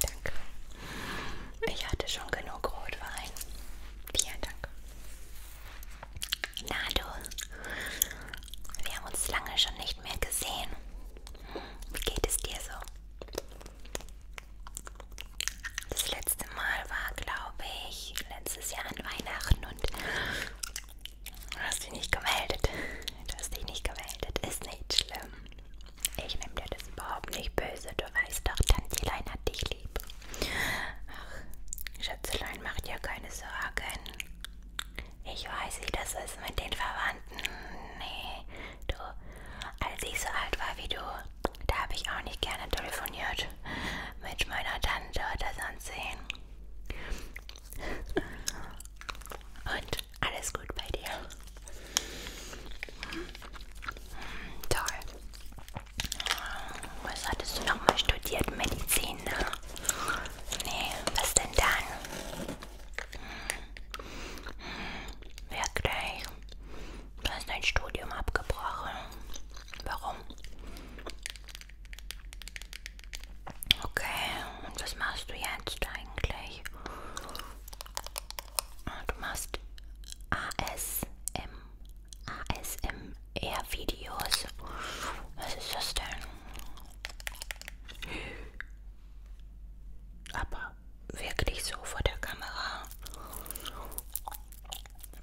Danke. Ich hatte schon genug Rotwein. Vielen Dank. Na du, wir haben uns lange schon nicht mehr gesehen. Wie geht es dir so? Das letzte Mal war, glaube ich, letztes Jahr an Weihnachten und du hast dich nicht gemeldet. Du hast dich nicht gemeldet. Ist nicht schlimm. Ich nehme dir das überhaupt nicht böse. Du weißt doch, Tantilein hat dich lieb. Ach, Schätzelein, mach dir keine Sorgen. Ich weiß, wie das ist mit den Verwandten. Nee, du, als ich so alt war wie du, da habe ich auch nicht gerne telefoniert mit meiner Tante oder sonst sehen. Und gut. Alles gut bei dir. Hm. Hm, toll. Was hattest du nochmal studiert? Medizin, ne? Nee, was denn dann? Hm. Hm. Wirklich? Du hast dein Studium abgebrochen. Warum? Okay, und was machst du jetzt eigentlich? Du machst ASM, ASMR-Videos. Was ist das denn? Aber wirklich so vor der Kamera.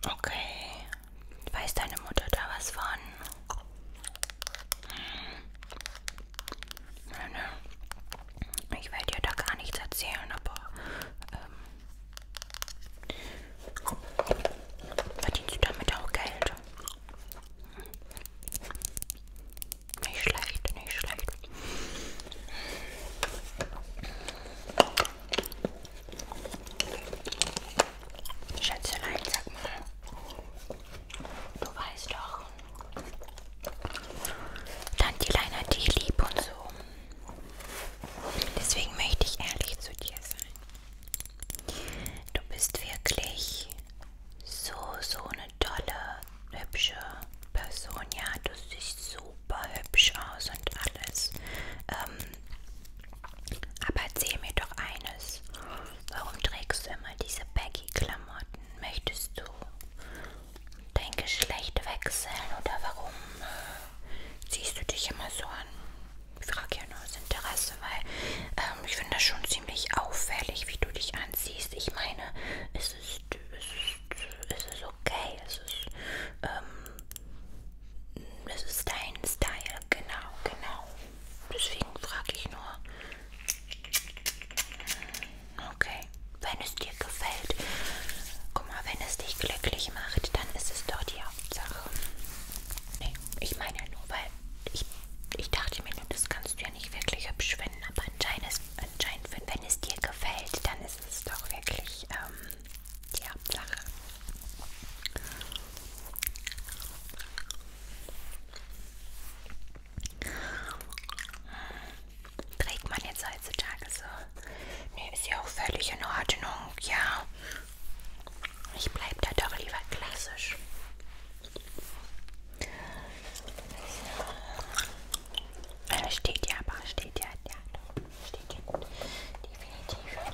Okay. Weiß deine Mutter da was von? Hm. Nein, nein. Ich will dir da gar nichts erzählen, aber ähm, verdienst du damit auch Geld? Nicht schlecht, nicht schlecht. Schätzelein, sag mal. Du weißt doch. Tanti Lein hat dich lieb und so. Deswegen möchte ich ehrlich zu dir sein. Du bist wirklich so, so eine tolle, hübsche Person. Ja, du siehst super hübsch aus und alles. Ähm, aber erzähl mir doch eines. Warum trägst du immer diese Baggy-Klamotten? Möchtest du dein Geschlecht wechseln oder warum äh, ziehst du dich immer so an? Ich frage ja nur aus Interesse, weil ähm, ich finde das schon ziemlich auffällig, wie du dich anziehst. Ich meine, es ist, es ist, es ist okay, es ist, ähm, es ist dein Style, genau, genau. Deswegen frage ich nur. Okay, wenn es dir gefällt. Guck mal, wenn es dich glücklich macht, dann ist es doch die Hauptsache. Nee, ich meine ja nur, weil ich, ich dachte mir nur, das kannst du ja nicht wirklich hübsch finden, aber anscheinend, anscheinend wenn es dir gefällt, dann ist es doch wirklich ähm, die Hauptsache trägt man jetzt heutzutage so. Nee, ist ja auch völlig in Ordnung, ja. Ich bleibe da doch lieber klassisch. So. Also, äh, steht ja, aber steht ja, ja, doch. steht ja gut. Definitiv.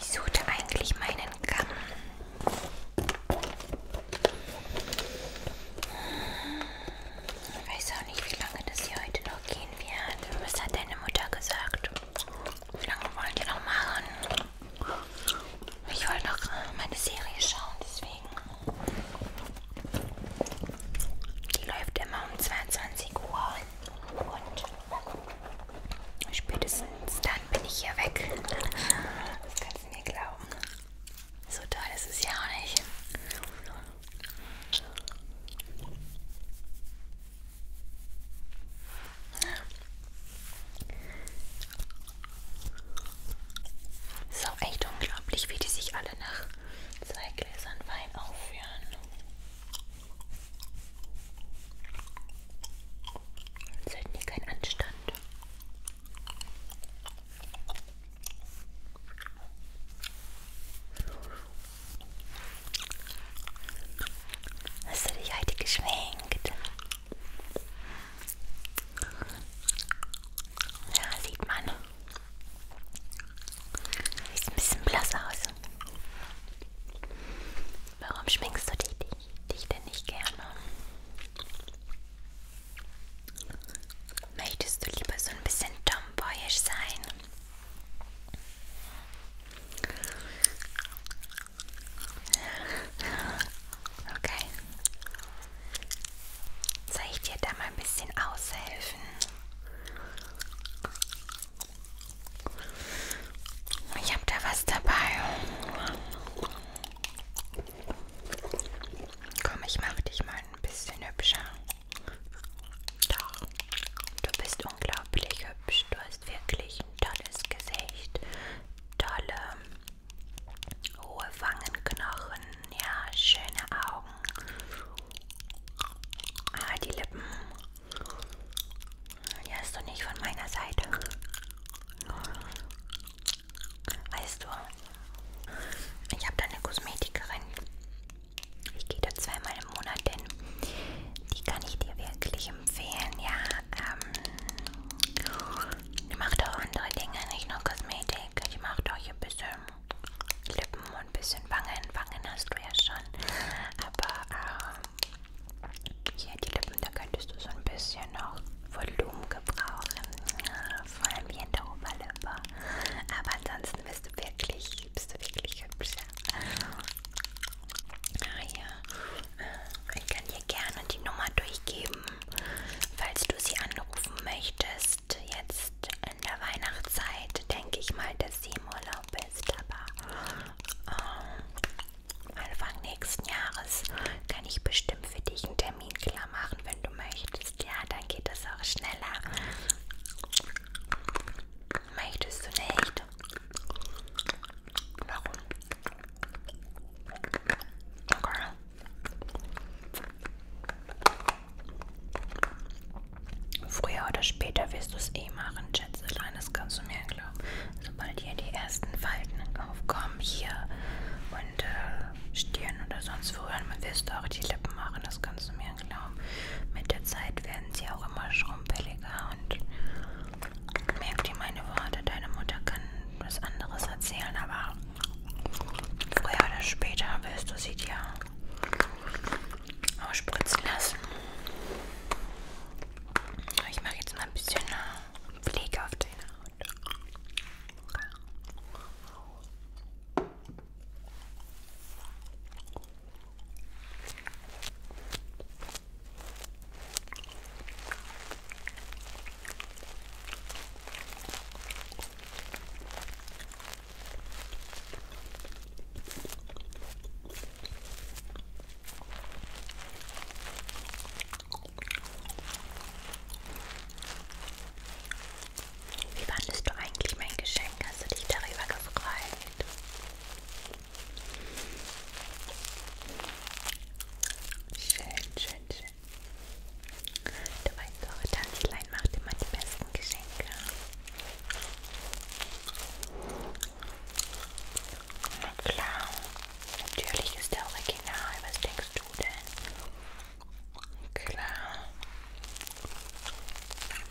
Ich suchte eigentlich meinen Kamm. Ich weiß auch nicht, wie lange das hier heute noch gehen wird. Was hat deine Mutter gesagt? Wie lange wollen die noch machen? Ich wollte noch meine Serie schauen, deswegen. Die läuft immer um 22 Uhr. Und spätestens dann bin ich hier weg. Das kannst du mir glauben. So toll ist es ja auch nicht. Es ist auch echt unglaublich, wie die sich alle nach zwei Gläsern Wein aufführen. Das ist halt nie kein Anstand. Hast du dich heute geschminkt? Ja, sieht man. Sieht ein bisschen blass aus. Warum schminkst du dich, dich, dich denn nicht gerne? Möchtest du lieber so ein bisschen tomboyisch sein? Okay. Soll ich dir da mal ein bisschen aushelfen? Ich habe da was dabei. Komm, ich mache dich mal ein bisschen hübscher. Doch, du bist unglaublich hübsch. Du hast wirklich ein tolles Gesicht, tolle hohe Wangenknochen, ja, schöne Augen. Ah, die Lippen. Die hast du nicht von meiner Seite. Weißt du, ich habe da eine Kosmetikerin. Ich gehe da zweimal im Monat hin. Die kann ich dir wirklich empfehlen. Ja, ähm, die macht auch andere Dinge, nicht nur Kosmetik. Die macht auch hier ein bisschen Lippen und ein bisschen Wangen. Wangen hast du ja schon. Aber ähm, hier die Lippen, da könntest du so ein bisschen noch Volumen gebrauchen. Ja, vor allem hier in der Oberlippe. Aber ansonsten bist du wirklich, bist du wirklich hübsch. Ja. Ah ja, äh, ich kann dir gerne die Nummer durchgeben, falls du sie anrufen möchtest. Jetzt in der Weihnachtszeit denke ich mal, dass sie im Urlaub jetzt, aber ähm, Anfang nächsten Jahres kann ich bestimmt für dich einen Termin klar machen, wenn du möchtest. Ja, dann geht das auch schneller. Möchtest du nicht? Warum? Okay. Früher oder später wirst du es eh machen, Schätzelein, das kannst du mir glauben. Sobald hier die ersten Falten aufkommen, hier und äh, Stirn oder sonst wo, dann wirst du auch die Lippen machen, das kannst du mir glauben. Mit der Zeit werden sie auch immer schrumpeliger und merk dir meine Worte, deine Mutter kann was anderes erzählen, aber früher oder später wirst du sie dir ausspritzen lassen. Ich mache jetzt mal ein bisschen äh, Pflege auf den Haut. Wie fandest du eigentlich mein Geschenk? Hast du dich darüber gefreut? Schön, schön, schön. Du weißt, eure Tanzlein macht immer die besten Geschenke. Na klar. Natürlich ist der Original. Was denkst du denn? Klar.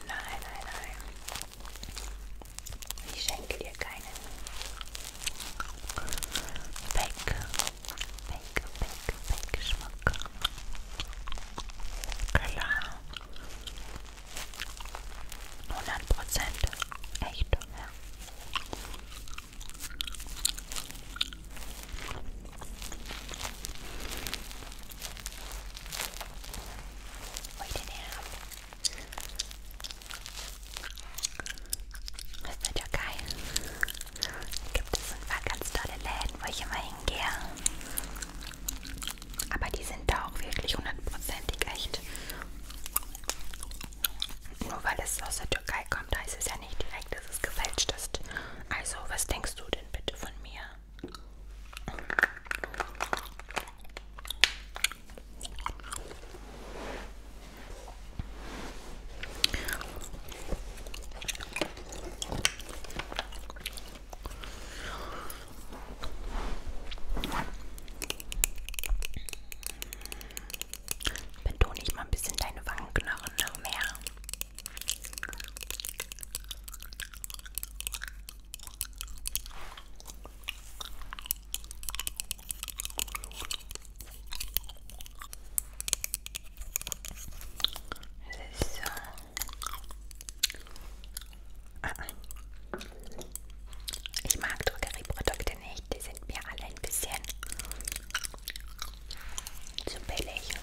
Nein, nein, nein. Ich schenke dir keinen. Fake. Fake, fake, fake Geschmack. Klar. 100 Prozent. Echt, ja. Wo ich den her habe. Das ist ja geil. Da gibt es ein paar ganz tolle Läden, wo ich immer hingehe. Aber die sind da auch wirklich hundertprozentig echt. Nur weil es aus der Türkei kommt, heißt es ja nicht direkt, dass es gefälscht ist. Also, was denkst du denn bitte von mir? Betone ich mal ein bisschen deine Wangenknochen noch mehr. So. Ich mag Drogerieprodukte nicht, die sind mir alle ein bisschen zu billig. So.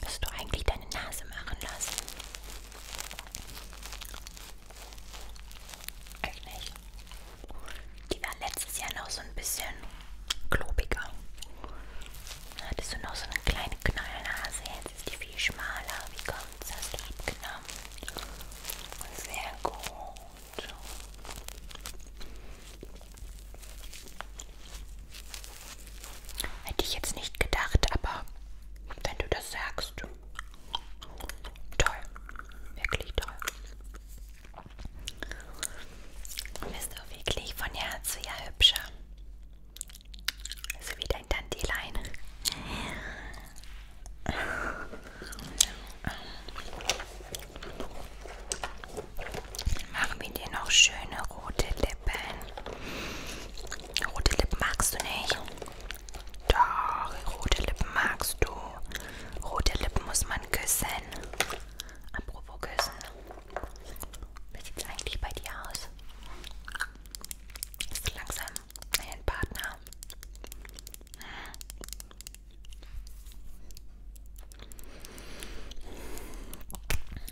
Bist du eigentlich deine Nase machen lassen? Echt nicht. Die war letztes Jahr noch so ein bisschen klobiger. Da hattest du noch so eine kleine Knollnase jetzt ist die viel schmaler. Wie kommt's? Hast du abgenommen? Sehr gut. Hätte ich jetzt nicht gedacht, aber wenn du das sagst, toll, wirklich toll. Du bist auch wirklich von Herz zu Jahr hübscher. Also wieder in Dandelion. Machen wir dir noch schöne rote Lippen. Rote Lippen magst du nicht? Doch, rote Lippen magst du. Rote Lippen muss man küssen. Apropos küssen. Wie sieht es eigentlich bei dir aus? Hast du langsam einen Partner?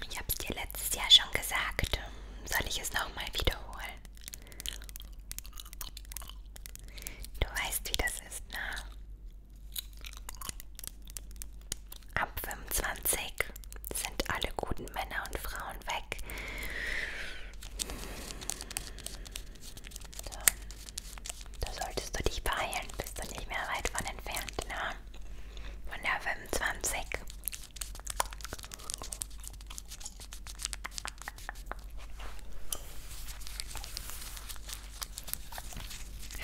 Ich habe es dir letztes Jahr schon gesagt. Soll ich es nochmal wiederholen? Du weißt, wie das ist, ne? Ab 25 sind alle guten Männer und Frauen weg. So. Da solltest du dich beeilen, bist du nicht mehr weit von entfernt. Na? Ne? Von der 25.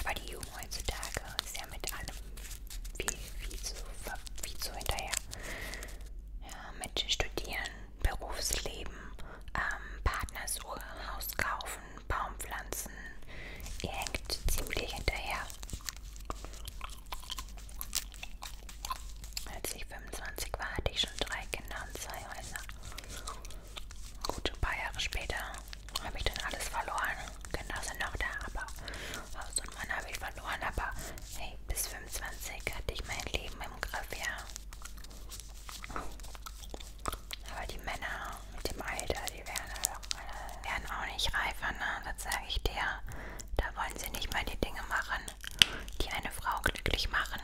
Aber die Jugend heutzutage ist ist ja mit allem viel, viel zu, viel zu hinterher. Ja, mit Studieren, Berufsleben, ähm, Partnersuche, Haus kaufen, Baumpflanzen. Ihr hängt ziemlich hinterher. Als ich 25 war, hatte ich schon drei Kinder und zwei Häuser. Gut, ein paar Jahre später habe ich dann alles verloren. Kinder genau, sind noch da, aber Haus und Mann habe ich verloren. Aber hey, bis 25 hatte ich mein Leben im Griff, ja. Aber die Männer mit dem Alter, die werden, halt werden auch nicht reifer, ne? Das sage ich dir. Da wollen sie nicht mal die Dinge machen, die eine Frau glücklich machen.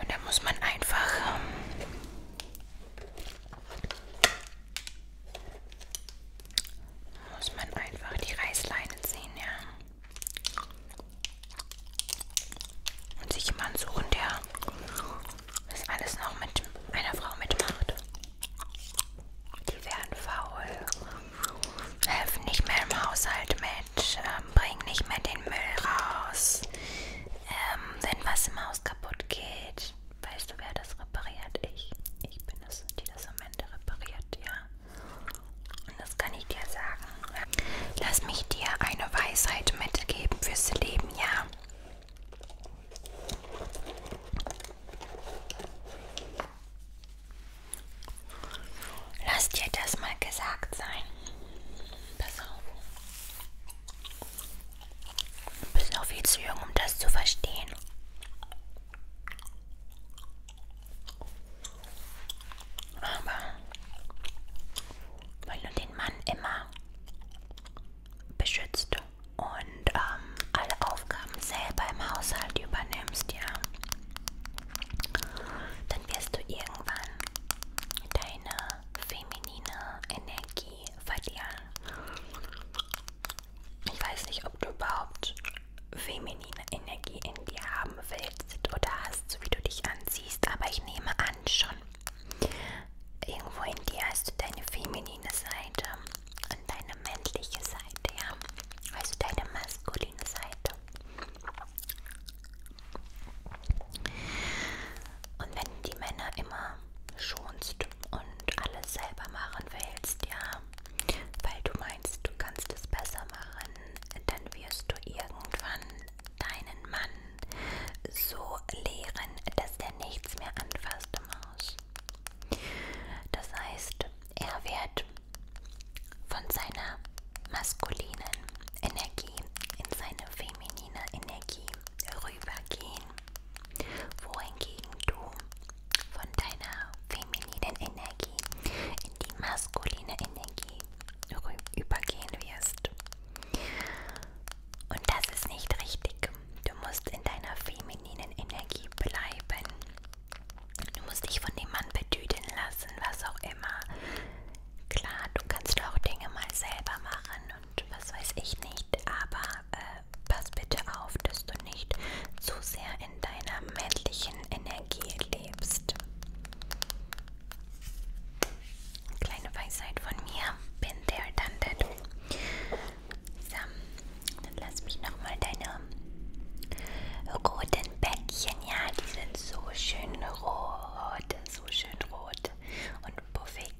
Und da muss man einfach ähm, muss man einfach die Reißleine ziehen, ja. Und sich jemanden suchen, der das alles noch mit einer Frau mitmacht. Die werden faul, helfen nicht mehr im Haushalt mit, ähm, bringen nicht mehr den Müll raus, ähm, wenn was im Haus kaputt geht, Weißt du, wer das repariert? Ich. Ich bin es, die das am Ende repariert, ja. Und das kann ich dir sagen. Lass mich dir eine Weisheit mitgeben fürs Leben, ja. Lass dir das mal gesagt sein. Pass auf. Du bist auch viel zu jung, um das zu verstehen. Aber weil du den Mann immer beschützt und ähm, alle Aufgaben selber im Haushalt übernimmst, ja, dann wirst du irgendwann deine feminine Energie verlieren ich weiß nicht, ob du überhaupt feminine Energie in dir haben willst oder hast, wie du dich anziehst, aber ich nehme an schon. Irgendwo in dir hast du deine feminine Seite und deine männliche Seite, ja. Also deine maskuline Seite. Und wenn die Männer immer schonst und alles selber machen willst, ja, weil du meinst, du kannst es besser machen, dann wirst du irgendwann deinen Mann so lehren, dass der nichts mehr anfasst im Haus. Das heißt, er wird von seiner maskulinen Energie in seine feminine Energie rübergehen, wohingegen du von deiner femininen Energie in die maskuline Energie übergehen wirst. Und das ist nicht richtig. Du musst in deiner femininen Energie bleiben. Du musst dich von dem Mann betüten lassen, was auch immer. Klar, du kannst auch Dinge mal selber machen und was weiß ich nicht, aber äh, pass bitte auf, dass du nicht zu sehr in deiner männlichen Energie lebst. Kleine Weisheit von mir, bin der Danded. So, dann lass mich nochmal deine roten Bäckchen, ja, die sind so schön rot, so schön rot und puffig.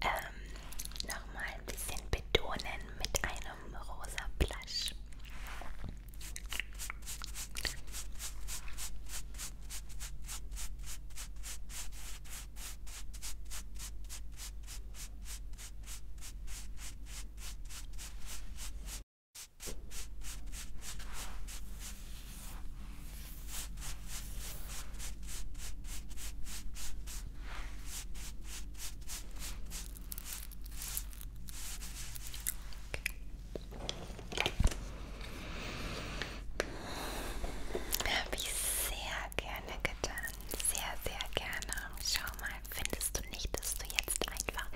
Ähm, nochmal ein bisschen betonen mit einer vom rosa Blush. Habe ich sehr gerne getan. Sehr, sehr gerne. Schau mal, findest du nicht, dass du jetzt einfach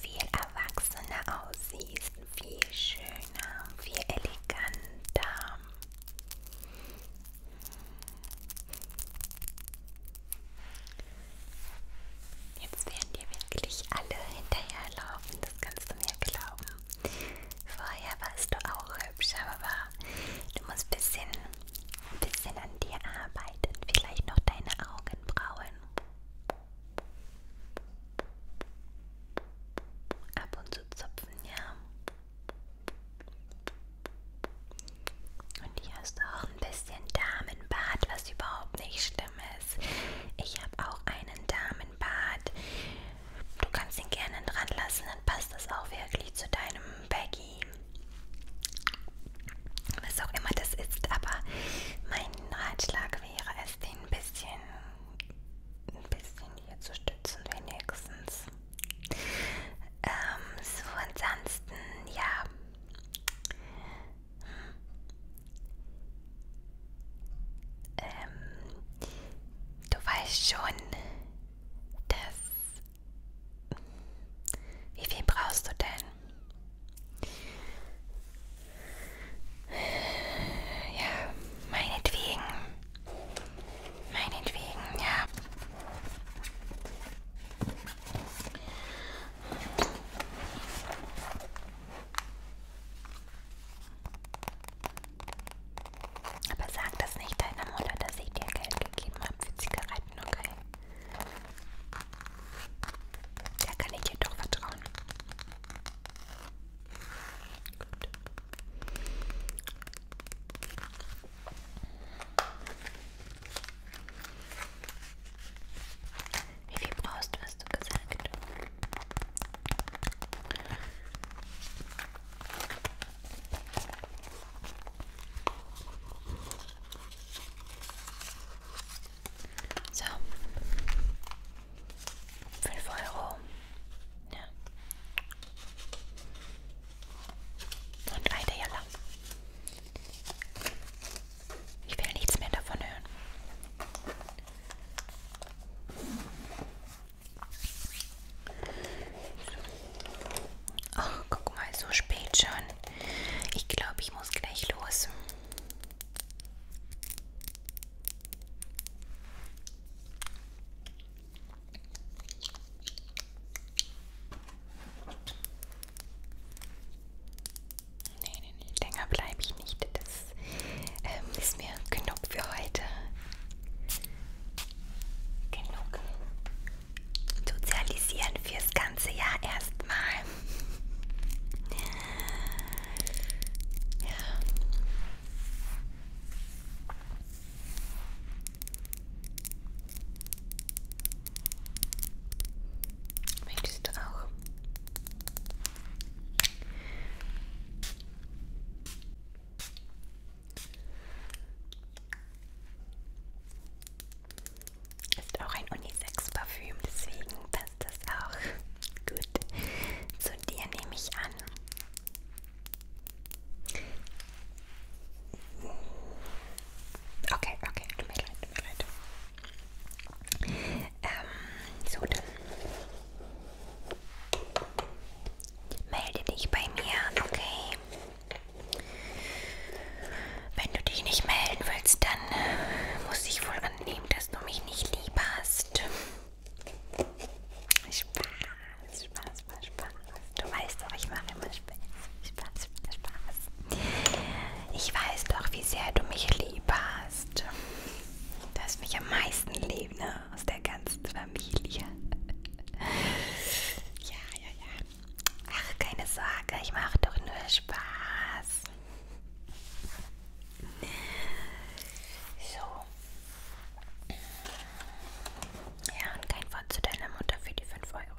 viel erwachsener aussiehst? Viel schöner, viel eleganter. Jetzt werden dir wirklich alle hinterherlaufen, das kannst du mir glauben. Vorher warst du auch hübsch, aber du musst ein bisschen, ein bisschen an dir arbeiten. Vielleicht noch deine Augenbrauen. Ab und zu zupfen, ja. Und hier ist auch ein bisschen Damenbart, was überhaupt nicht schlimm ist. Ich habe auch einen Damenbart. Du kannst ihn gerne dran lassen, dann passt das auch wirklich zu deinem Baggy. Was auch immer das ist, aber mein Ratschlag wäre es, den ein bisschen, ein bisschen hier zu stützen, wenigstens. Ähm, so ansonsten, ja, ähm, du weißt schon, dass... Wie viel brauchst du denn? Ja, meinetwegen. Meinetwegen, ja. Aber sag das nicht deiner Mutter, dass ich dir Geld gegeben habe für Zigaretten, okay? Da kann ich dir doch vertrauen. Gut. Wie viel brauchst du, hast du gesagt? So. 5 Euro. Ja. Und eine Jalla. Ich will nichts mehr davon hören. Ach, guck mal, so spät schon. Ich glaube, ich muss gleich los. Nee, nee, nee, länger bleibe ich nicht. Das ähm, ist mir genug für heute. Genug sozialisieren fürs ganze Jahr erstmal. Ja. Möchtest du auch? Ist auch ein Unisex-Parfüm, deswegen passt das auch gut. Zu dir nehme ich an. Okay, okay, tut mir leid, tut mir leid. Ähm, so, dann melde dich bei mir, okay? Wenn du dich nicht melden willst, dann äh, muss ich wohl annehmen, dass du mich nicht lieb hast. Spaß, Spaß, Spaß, Spaß. Du weißt doch, ich mache immer Spaß. Spaß, Spaß, Spaß. Ich weiß doch, wie sehr du mich lieb hast. Du hast mich am meisten lieb, ne? Aus der ganzen Familie. Ja, ja, ja. Ach, keine Sorge, ich mache doch nur Spaß. So. Ja, und kein Wort zu deiner Mutter für die 5 Euro.